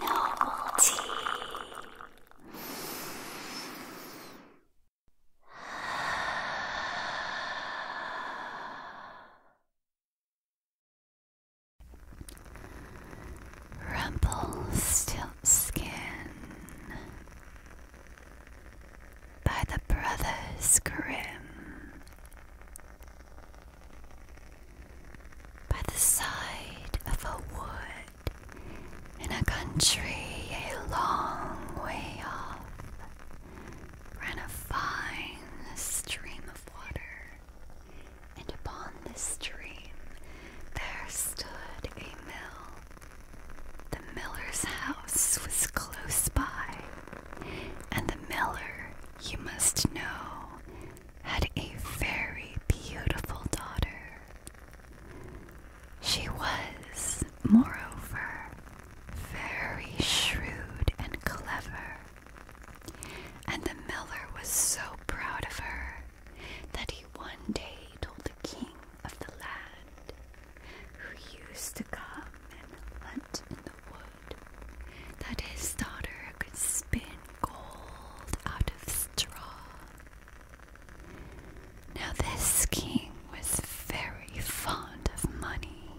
Noble tea. Rumple Stiltskin by the Brothers Grimm by the side of a wood in a country a long way off ran a fine stream of water, and upon the stream there stood a mill. The miller's house was close by, and the miller you must know, had a very beautiful daughter. She was, moreover, very shrewd and clever, and the miller was so proud of her that he one day told the king of the land, who used to come and hunt in the woods that his daughter could spin gold out of straw. Now, this king was very fond of money,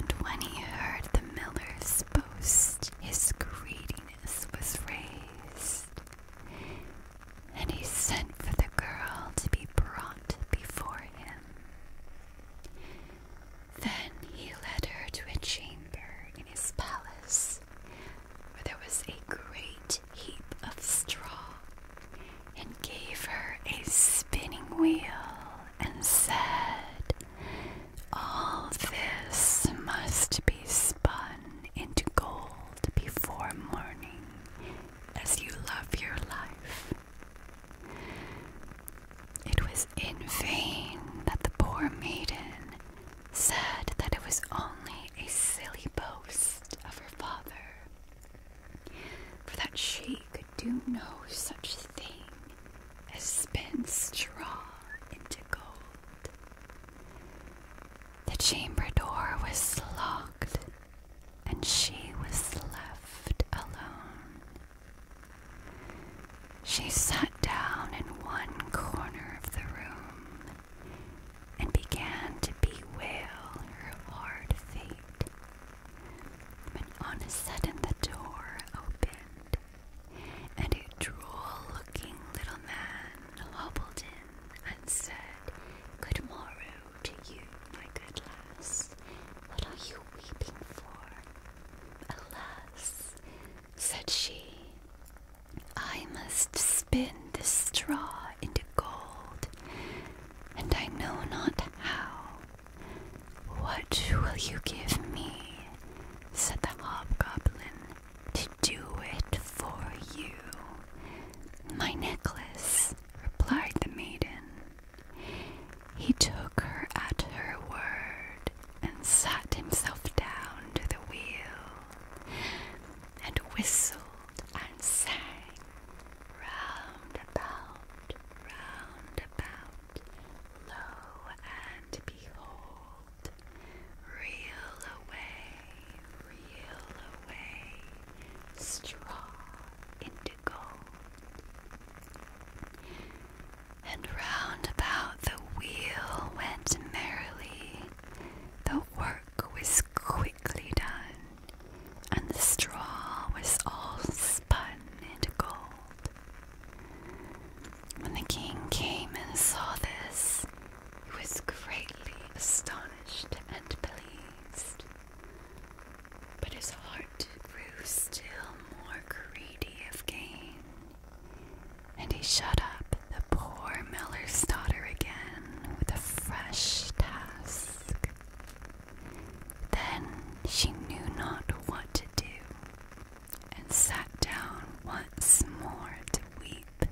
and when he heard the miller's boast, his greediness was raised, and he sent for the girl to be brought before him. Then he led her to a chamber in his palace where there was a great heap of straw and gave her a spinning wheel and said, All this must be spun into gold before morning as you love your life. It was in vain that the poor maiden said that it was only a silly boast of her father, for that she could do no such thing as spin straw into gold. The chamber door was locked and she was left alone. She sat down in one corner of the room and began to bewail her hard fate. When on a sudden the door opened, and a droll-looking little man hobbled in and said, Good morrow, to you, my good lass. What are you weeping for? Alas, said she, I must spin the straw into gold, and I know not how. What will you give me? said the hobgoblin, to do it for you. My necklace, replied the maiden. He took her at her word and sat himself down to the wheel and whistled and sang round about, round about, lo and behold, reel away, reel away, straw in and round about the wheel went merrily. The work was quickly done, and the straw was all spun into gold. When the king came and saw this, he was greatly astonished and pleased. But his heart grew still more greedy of gain, and he shut up the poor miller's daughter again with a fresh task. Then she knew not what to do, and sat down once more to weep.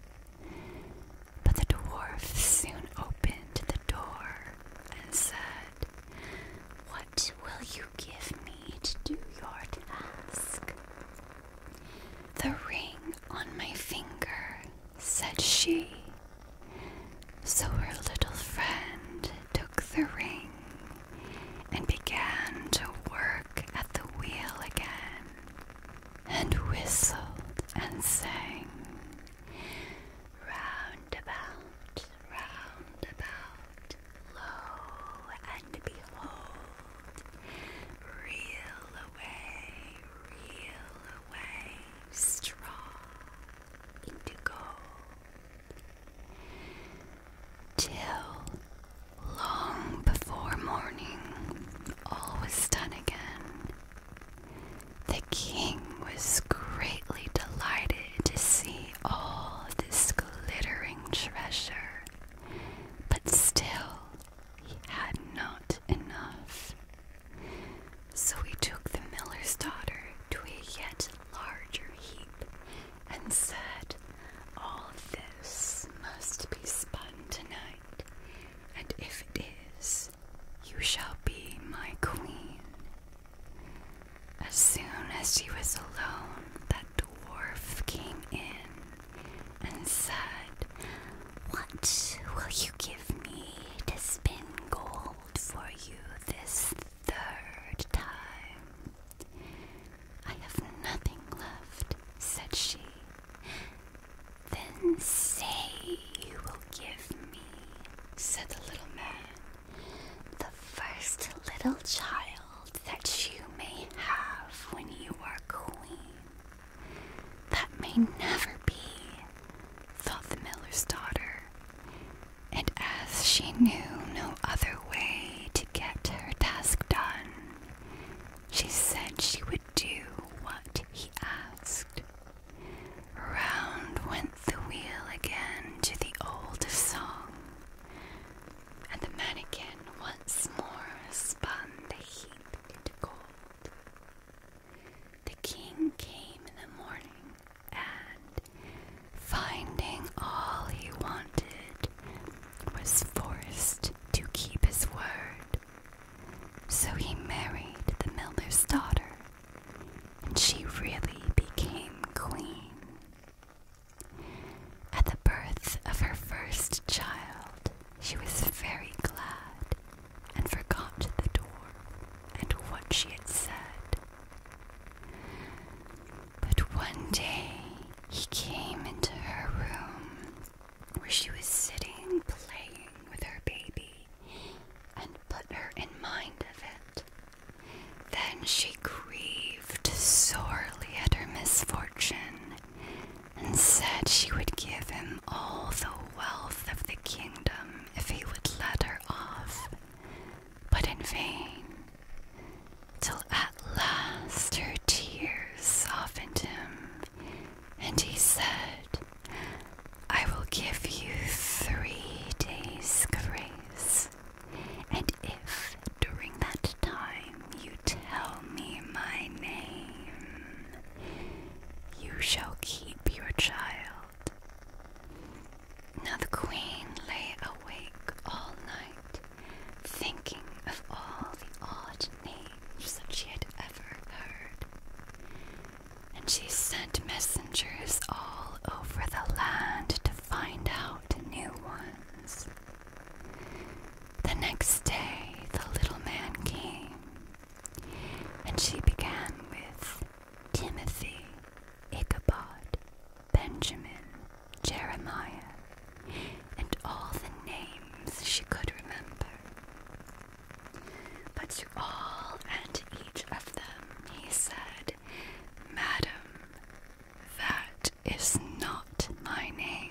But the dwarf soon opened the door and said, What will you give me to do your task? The ring on my finger, said she. So her little friend took the ring and began to work at the wheel again, and whistled and sang, Round about, round and behold, reel away, reel away, straw into gold, till long before morning all was done again. The king was greatly delighted to see all this glittering treasure, but still he had not enough. So he took the miller's daughter to a yet larger heap and said, All this must be spun tonight, and if it is, you shall be my queen. As soon as she was alone, that dwarf came in and said, What will you give me to spin gold for you this third time? I have nothing left, said she. Then say you will give me, said the little man, the first little child that you may have when you are queen. That may never be, thought the miller's daughter, and as she knew no other way to get her task done, she said she would do what he asked. Round went the wheel again to the old song, and the mannequin once more spun the heap into gold. The king came in the morning, and finding all he wanted, was forced to keep his word so he married the miller's daughter, and she really became queen. At the birth of her first child, she was very glad and forgot the door and what she had said. But one day he came into her room where she was sitting playing with her baby and put her in mind of it. Then she grieved sorely at her misfortune and said she would give him all the wealth of the kingdom if he would let her off, but in vain, till at last her tears softened him, and he said, I will give you three days' grace, and if during that time you tell me my name, you shall keep your child. Now the queen lay awake all night, thinking of all the odd names strange that she had ever heard. And she sent messengers all over the land to find out new ones. The next day, the little man came, and she began with Timothy, Ichabod, Benjamin, Jeremiah, and all the names she could remember. But to all and each of them he said, Madam, that is not my name.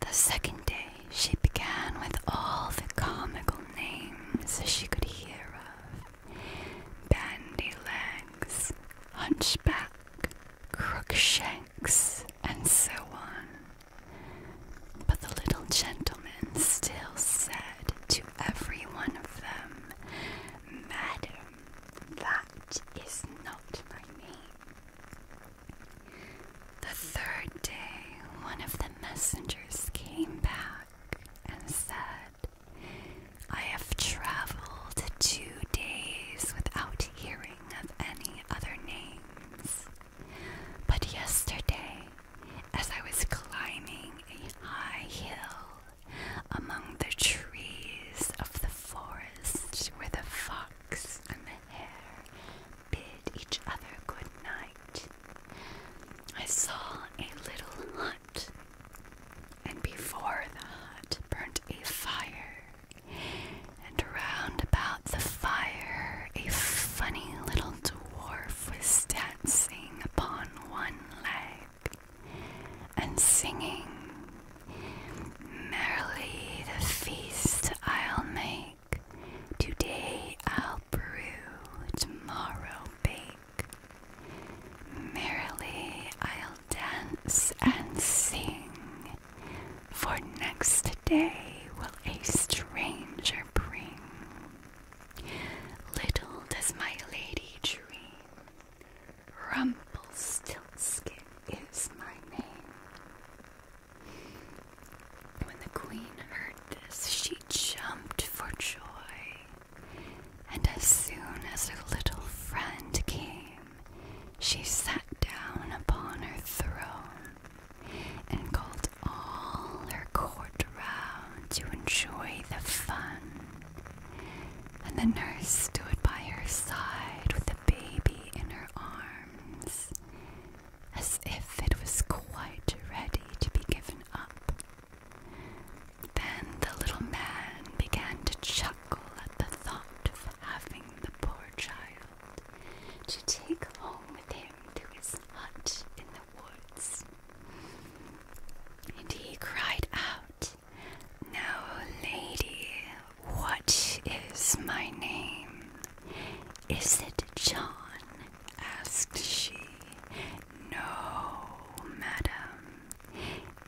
The second day she began with all the comical names she could hear of Bandy Legs, Hunchback, Crookshanks, and so on. But the little gentleman still said to every one of them, Madam, that is not my name. The third day, one of the messengers came back and said, I have traveled two days without hearing of any other names. But yesterday, as I was climbing a high hill among the trees of the forest where the fox and the hare bid each other good night, I saw a little hut, and before the hut burnt a fire, and round about the fire, a funny little dwarf was dancing upon one leg and singing, Merrily the feast I'll make, today I'll brew, tomorrow bake. Merrily I'll dance and sing, for next day will a stranger bring. Little does my lady dream, Rumpelstiltskin is my name. When the queen heard this, she jumped for joy, and as soon as her little friend came, she sat down upon her throne and called all her court round to enjoy the fun. And the nurse stood by her side with the baby in her arms, as if it was quite ready to be given up. Then the little man began to chuckle at the thought of having the poor child to take home with him to his hut in the woods. And he cried out, Now, lady, what is my name? Is it John? asked she. No, madam.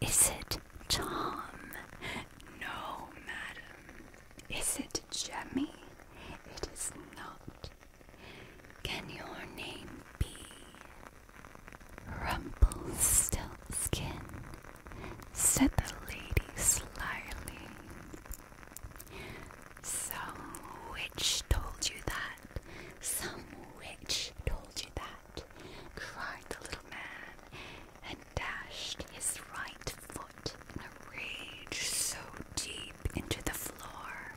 Is it Tom? No, madam. Is it Jemmy? It is not. Can your name be Rumpelstiltskin? said the lady slyly. Some witch told you that. Some witch told you that cried the little man, and dashed his right foot in a rage so deep into the floor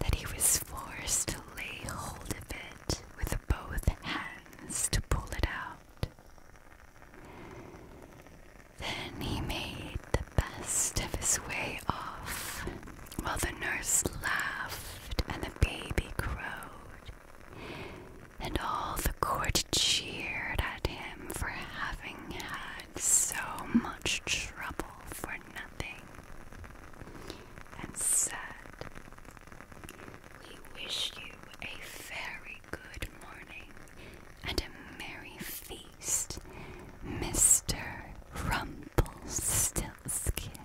that he was forced to lay hold of it with both hands to pull it out. Then he made the best of his way off while the nurse laughed and the baby crowed and all the court cheered at him for having had so much trouble for nothing, and said, We wish you a very good morning and a merry feast, Mr. Rumpelstiltskin.